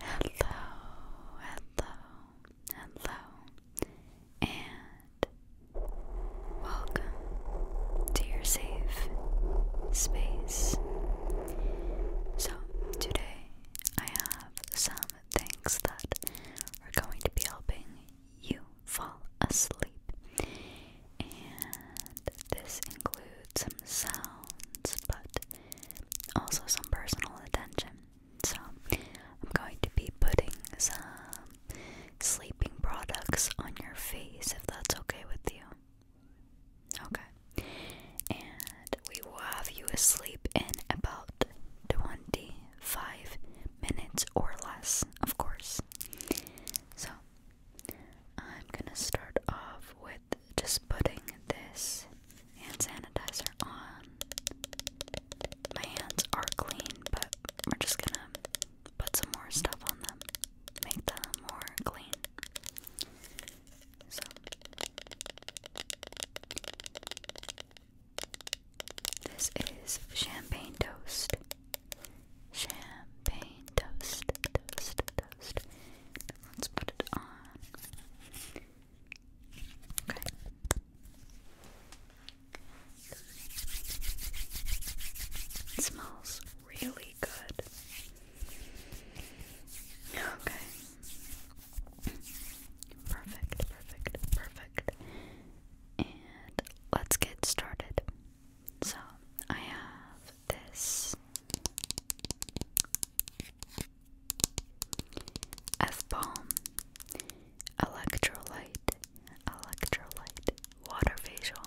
Hello, hello, hello, and welcome to your safe space. So, today I have some things that are going to be helping you fall asleep. And this includes some sounds, but also some personal attention. So, I'm going to be putting some sleeping products on your face if that's okay with you. Okay. And we will have you asleep in about 25 minutes or less, of course. So, I'm gonna start off with just putting this hand sanitizer on. My hands are clean, but we're just gonna put some more stuff on them, make them more clean. This is champagne toast. Champagne toast, toast, toast. Let's put it on. Okay. It smells really good. Okay. Perfect, perfect, perfect and let's get started. So, I have this F bomb, electrolyte, electrolyte, water facial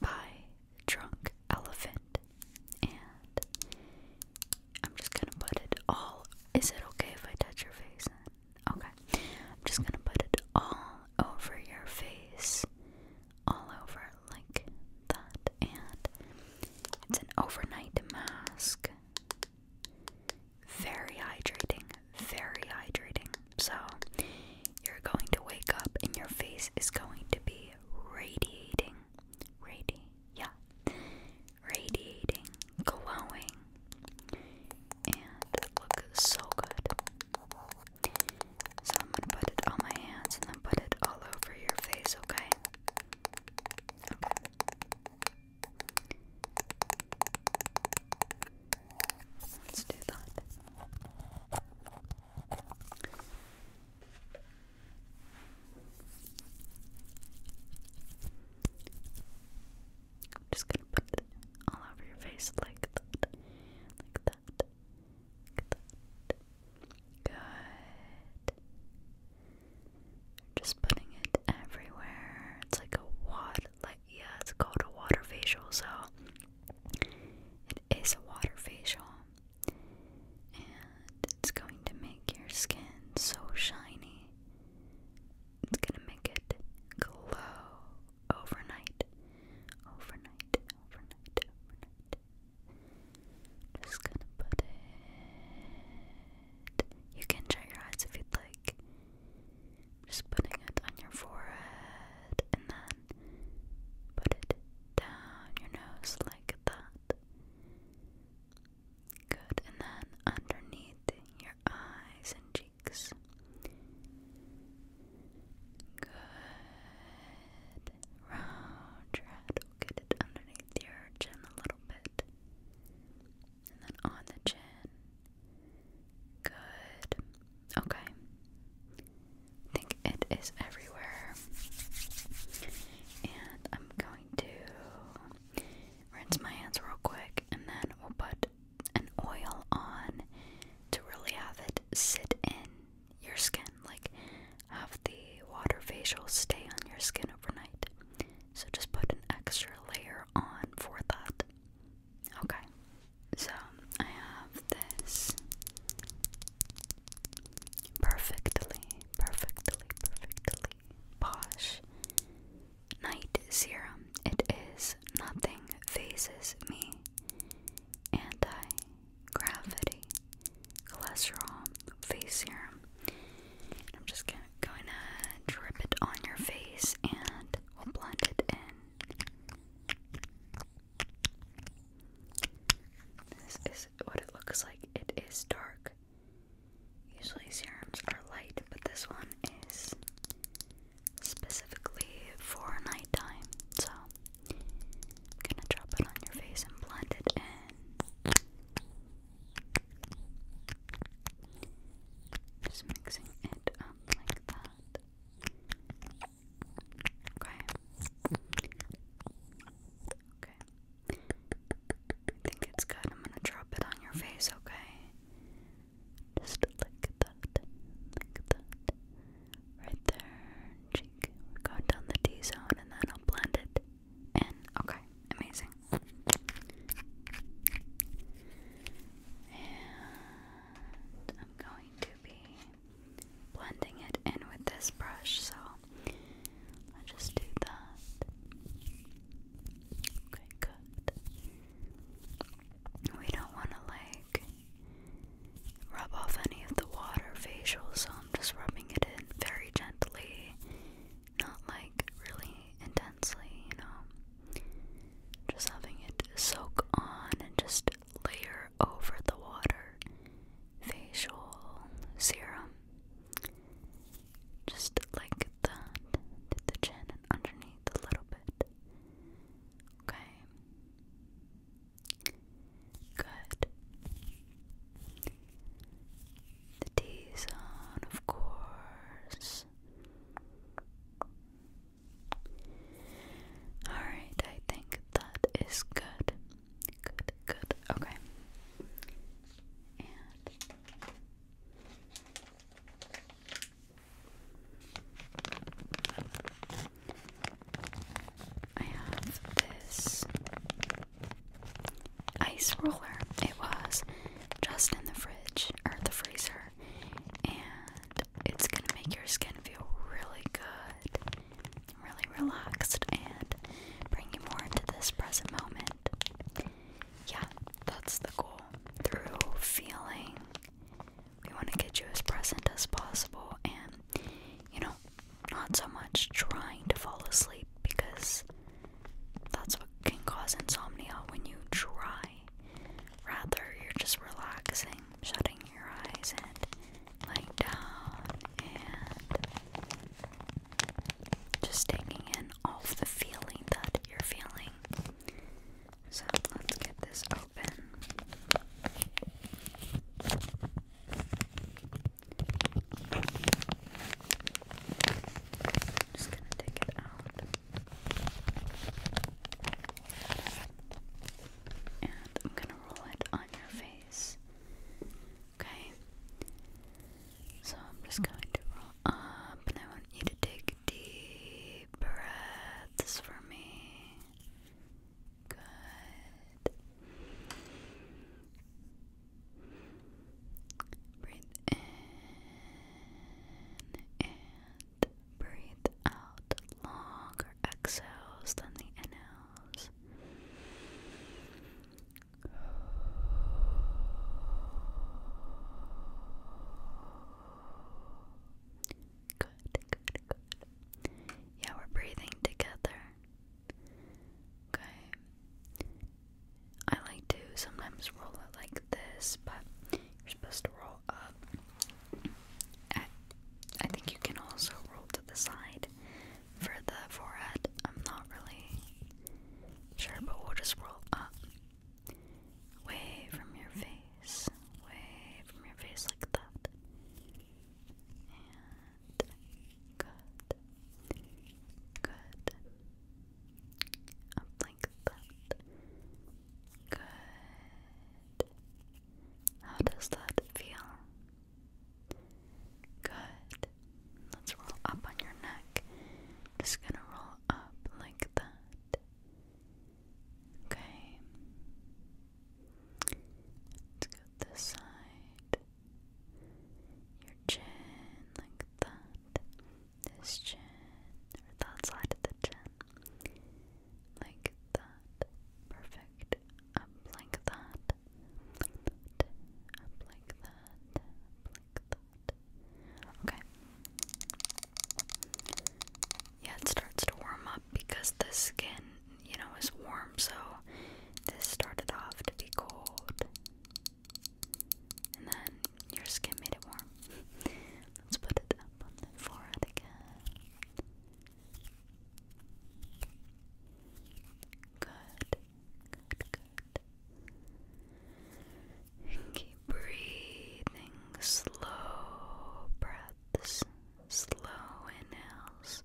by Drunk Elephant, and I'm just gonna put it all. Is it okay if I touch your face? Okay. I'm just gonna put it all over your face. All over like that. And it's an overnight mask. Very hydrating. Very hydrating. So you're going to wake up and your face is going to be radiating. radiating, yeah radiating, glowing, and look so good. So I'm gonna put it on my hands and then put it all over your face, okay? Okay. Let's do that. I'm just gonna put it all over your face like that, like that, like that. Good. Just putting it everywhere. It's like a water, like yeah, it's called a water facial, so it is a water facial, and it's going to make your skin so shiny. It's gonna make it glow overnight. Overnight, overnight, overnight. Just gonna put it. You can shut your eyes if you'd like. Just putting it on your forehead and then put it down your nose like that. Good. And then underneath your eyes and cheeks. Good. Round your head. we underneath your chin a little bit. And then on the chin. Good. Okay. I think it is everywhere. And I'm going to rinse my hands real quick and then we'll put an oil on to really have it sit in your skin, like have the water facial stay on your skin overnight. So just put an extra layer on for that. Okay, so I have this perfectly, perfectly, perfectly Simply Night Serum. It is nothing phases me. Anti gravity cholesterol face serum. I'm just going to drip it on your face and we'll blend it in. This is what it looks like. It is dark Usually serums are light, but this one is specifically for nighttime. So I'm gonna drop it on your face and blend it in. Just mixing it up like that. Okay. Okay. I think it's good. I'm gonna drop it on your face, okay? Just like that, like that. Right there, cheek. going down the D zone and then I'll blend it in. Okay, amazing. And I'm going to be blending it in with this brush, so I'll just do that. Okay, good. We don't want to like rub off any of the water facial, so I'm just rubbing it in very gently, not like really intensely, you know. Just having it soak on and just layer over the water facial serum. Just like that. the chin and underneath a little bit. Okay. Good. The T zone, of course. Alright, I think that is good. Good, good. Okay. I have this ice roller. It was just in the fridge or the freezer, and it's gonna make your skin feel really good, really relaxed, and bring you more into this present moment yeah, that's the goal. Through feeling, we want to get you as present as possible and, you know, not so much trying to fall asleep because that's what can cause insomnia when you try. Rather, you're just relaxing, shutting your eyes, and lying down and just taking in all of the feeling that you're feeling. So let's get this open. just gonna take it out. And I'm gonna roll it on your face. Okay. So I'm just going to roll up and I want you to take deep breaths for me. Good. Breathe in and breathe out longer exhales than the inhales. Good, good, Yeah, we're breathing together. Okay. I like to sometimes roll it like this, but you're supposed to roll up. I think you can also roll to the side. For the forehead, I'm not really sure, but we'll just roll up. Way from your face. Way from your face, like that. And good. Good. Up like that. Good. How does that feel? Good. Let's roll up on your neck. Just gonna roll up like that. Okay. Let's go this side. Your chin like that. This chin. Or that side of the chin. Like that. Perfect. Up like that up like that, up like that. Okay. Yeah, it starts to warm up because the skin, you know, is warm, so this started off to be cold. And then your skin made it warm. Let's put it up on the forehead again. Good. Keep breathing slow breaths, slow inhales,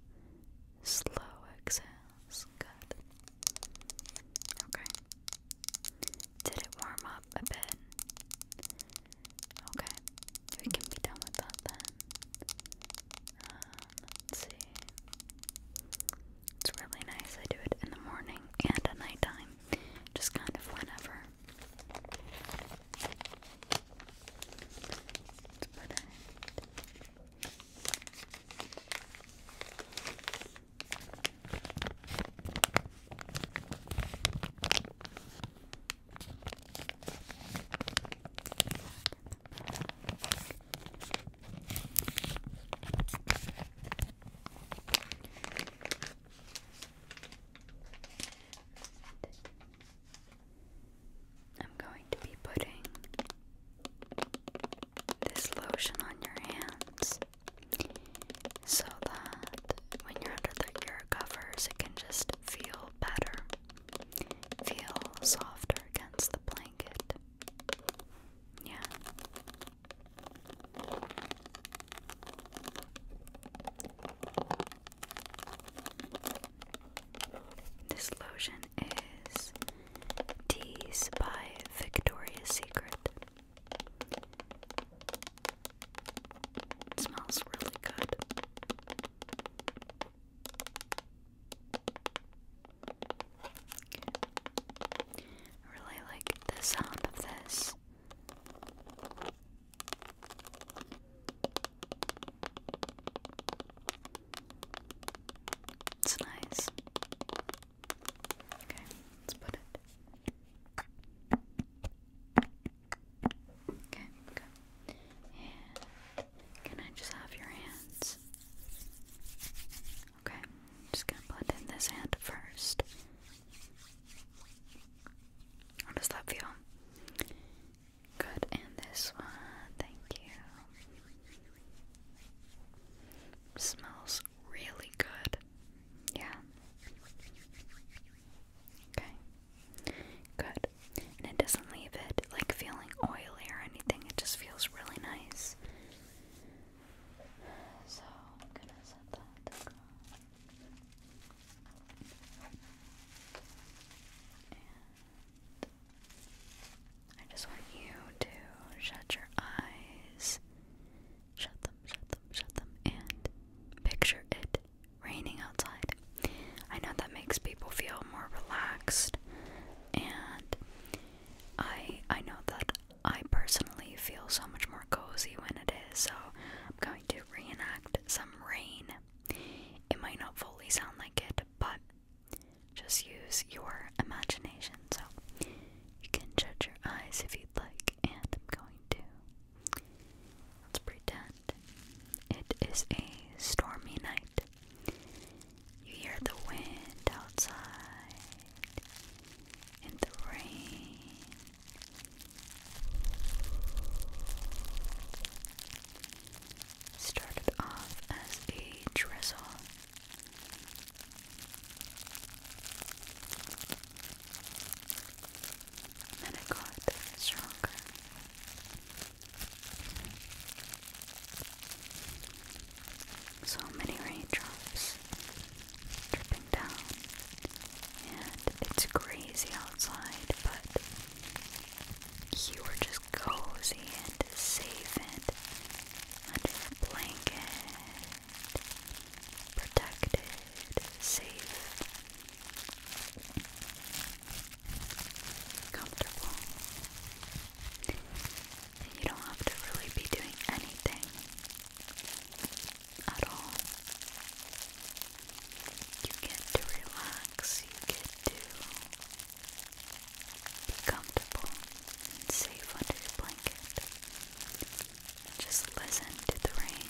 slow exhales. Good. Okay. Did it warm up a bit? Okay. We can be done with that then. Um, Let's see. It's really nice. I do it in the morning and at nighttime, just kind of whenever. Let's put it. Okay. I'm going to be putting this lotion on your hands so that when you're under the ear covers, it can just feel better, feel softer against the plant. Yeah. This lotion is Tease by Victoria's Secret. smells really good. I really like the sound of this. It's nice. Okay, let's put it. Okay, okay can I just have your hands? Okay, just gonna blend in this hand first. How does that feel? Good, and this one, thank you. Smells really good. Yeah. Okay. Good. And it doesn't leave it like feeling oily or anything, it just feels really nice. So I just want you to shut your eyes, shut them, shut them, shut them, and picture it raining outside. I know that makes people feel more relaxed, and I I know that I personally feel so much more cozy when it is. So I'm going to reenact some rain. It might not fully sound like it, but just use your imagination. So you can judge your eyes if you'd like, and I'm going to. Let's pretend it is a stormy night. You hear the wind outside and the rain. Started off as a drizzle. Then it got stronger so many raindrops dripping down, and it's crazy outside, but you were just cozy and safe and under a blanket, protected, safe comfortable. And you don't have to really be doing anything at all. You get to relax, you get to be comfortable safe under your blanket. Just listen to the rain.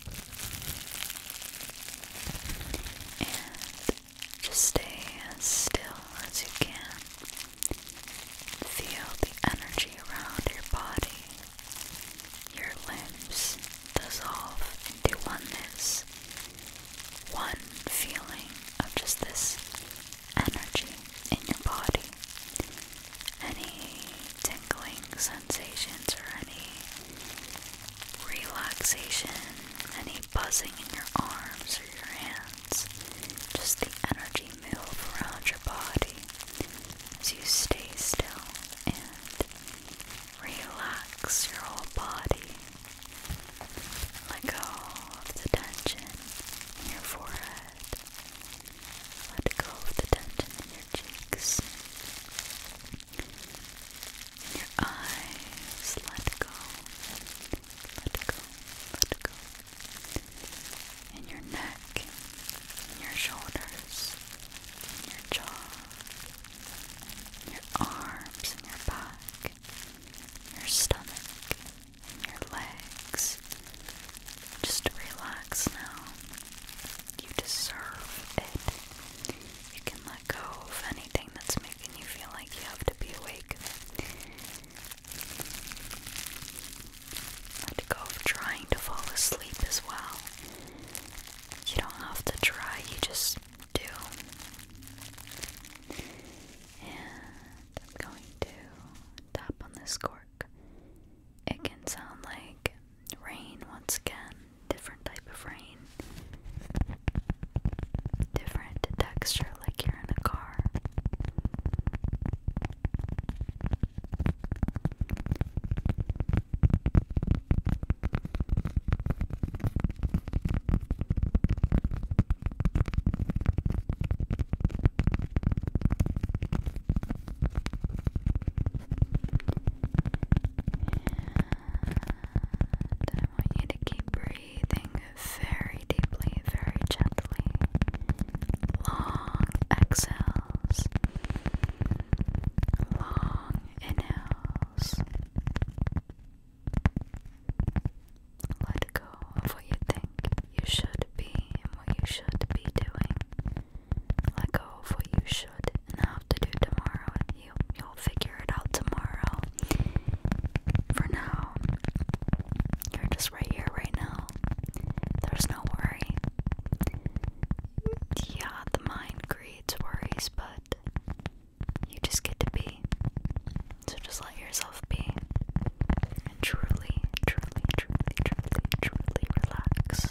And just stay as still as you can. Feel the energy around your body. Your limbs dissolve into oneness. One feeling of just this energy in your body any tingling sensations or any relaxation, any buzzing in your arms or your hands. Just the energy move around your body as you stay still and relax your whole body. Let go of the tension in your forehead. Let go of the tension in your cheeks, in your eyes. Let go. Let go. Let go. In your neck, in your shoulders, in your jaw, in your arms, in your back, in your stomach, in your legs. Just relax now. You deserve it. You can let go of anything that's making you feel like you have to be awake. Let go of trying to fall asleep as well. You don't have to try, you just do. And I'm going to tap on this chord. It can sound like rain once again, different type of rain, different texture, like you're in a car. I want you to keep breathing very deeply, very gently. Long exhales, long inhales. Let go of what you think you should be and what you should be doing. Let go of what you should and have to do tomorrow. You, you'll figure it out tomorrow. For now, you're just right here, right now. There's no worry. Yeah, the mind creates worries, but you just get to be. So just let yourself be. And truly, truly, truly, truly truly, relax.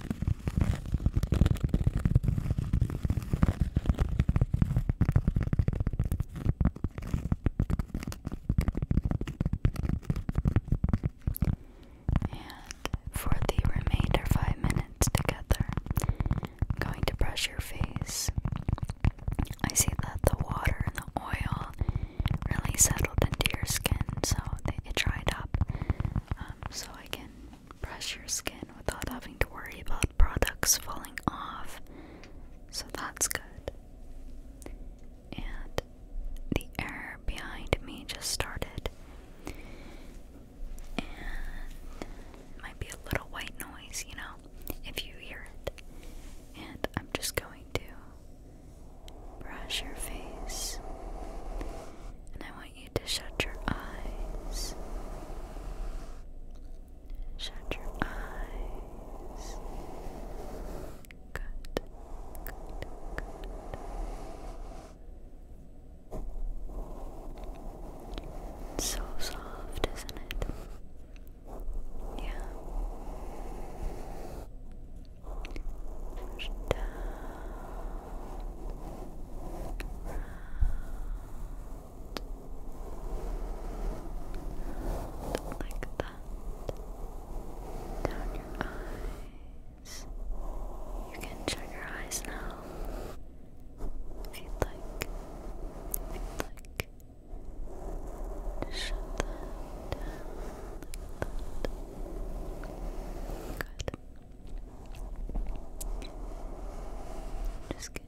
And for the remainder five minutes together, i going to brush your face. I see that the water and the oil really settled into your skin, so it dried up. Um, so I can brush your skin without having to worry about products falling off. So that's good. And the air behind me just started. And might be a little white noise, you know, if you hear it. And I'm just going to brush your face. And I want want you to shut your eyes. Shut your eyes. Good. Good. Good. so soft, isn't it? Yeah. Push round, like that, down your eyes. You can shut your eyes now, if you'd like, if you'd like. shut that like that. Good. Just get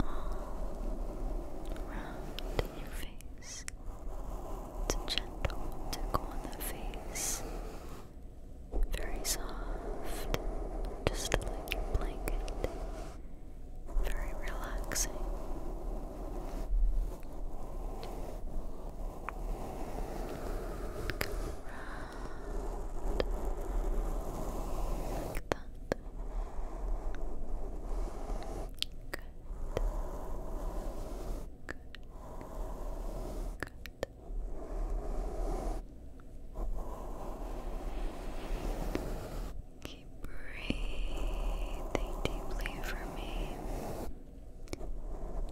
all around your face. It's a gentle tickle on the face. Very soft. Just like your blanket. Very relaxing. Like that. Good. Good. Good. Keep breathing deeply for me.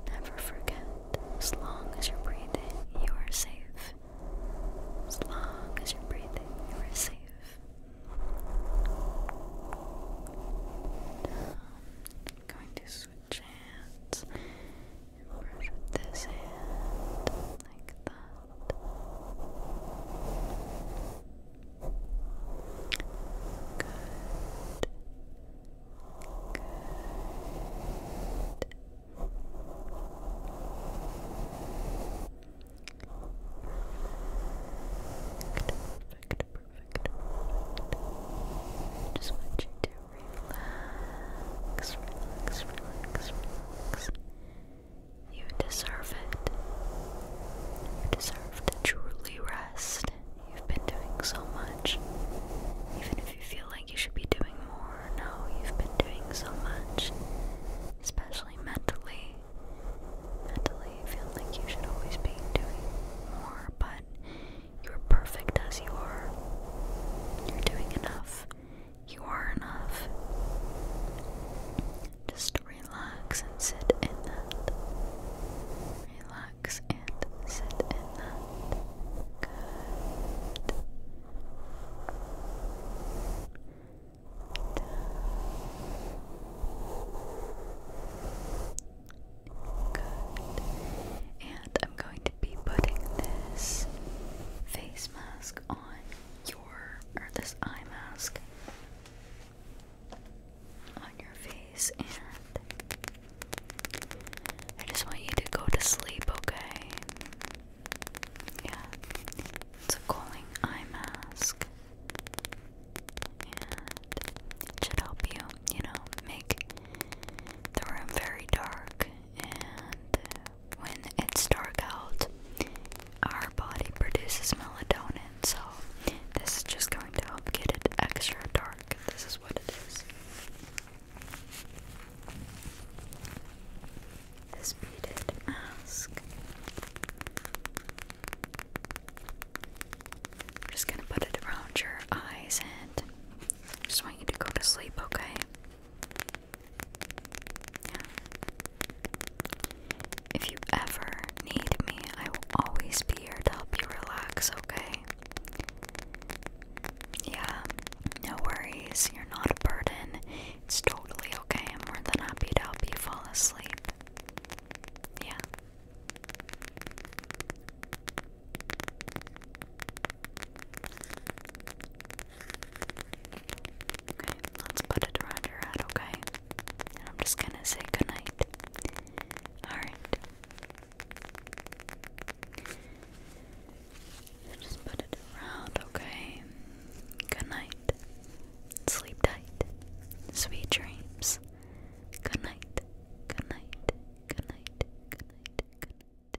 Never forget, as long as you're breathing, you are safe. As long as you're breathing, you are safe. I'm going to switch hands and brush with this hand like that. Good perfect, perfect. Just want you to relax, relax, relax, relax. You deserve it. You deserve to truly rest. You've been doing so much. Even if you feel like you should be doing more, no, you've been doing so much. Especially mentally. Mentally, feel like you should always be doing more, but you're perfect as you are. You're doing enough. You are enough. Just relax and sit in that. Relax and sit in that. Good. Good. And I'm going to be putting this face mask on your, or this eye mask on your face, and I just want you to go to sleep, okay? Yeah. It's a cooling eye mask. And it should help you, you know, make the room very dark. And when it's dark out, our body produces melatonin. So, this is just going to help get it extra dark. This is this beaded mask. I'm just gonna put it around your eyes and I just want you to go to sleep, okay? If you ever need me, I will always be here to help you relax, okay? Yeah, no worries. You're not a burden. It's totally okay. I'm more than happy to help you fall asleep. Yeah. Okay, let's put it around your head, okay? I'm just gonna say goodnight. Alright. Just put it around, okay? Good night. Sleep tight. Sweet dreams. Good night. Good night. Good night. Good night. Good night.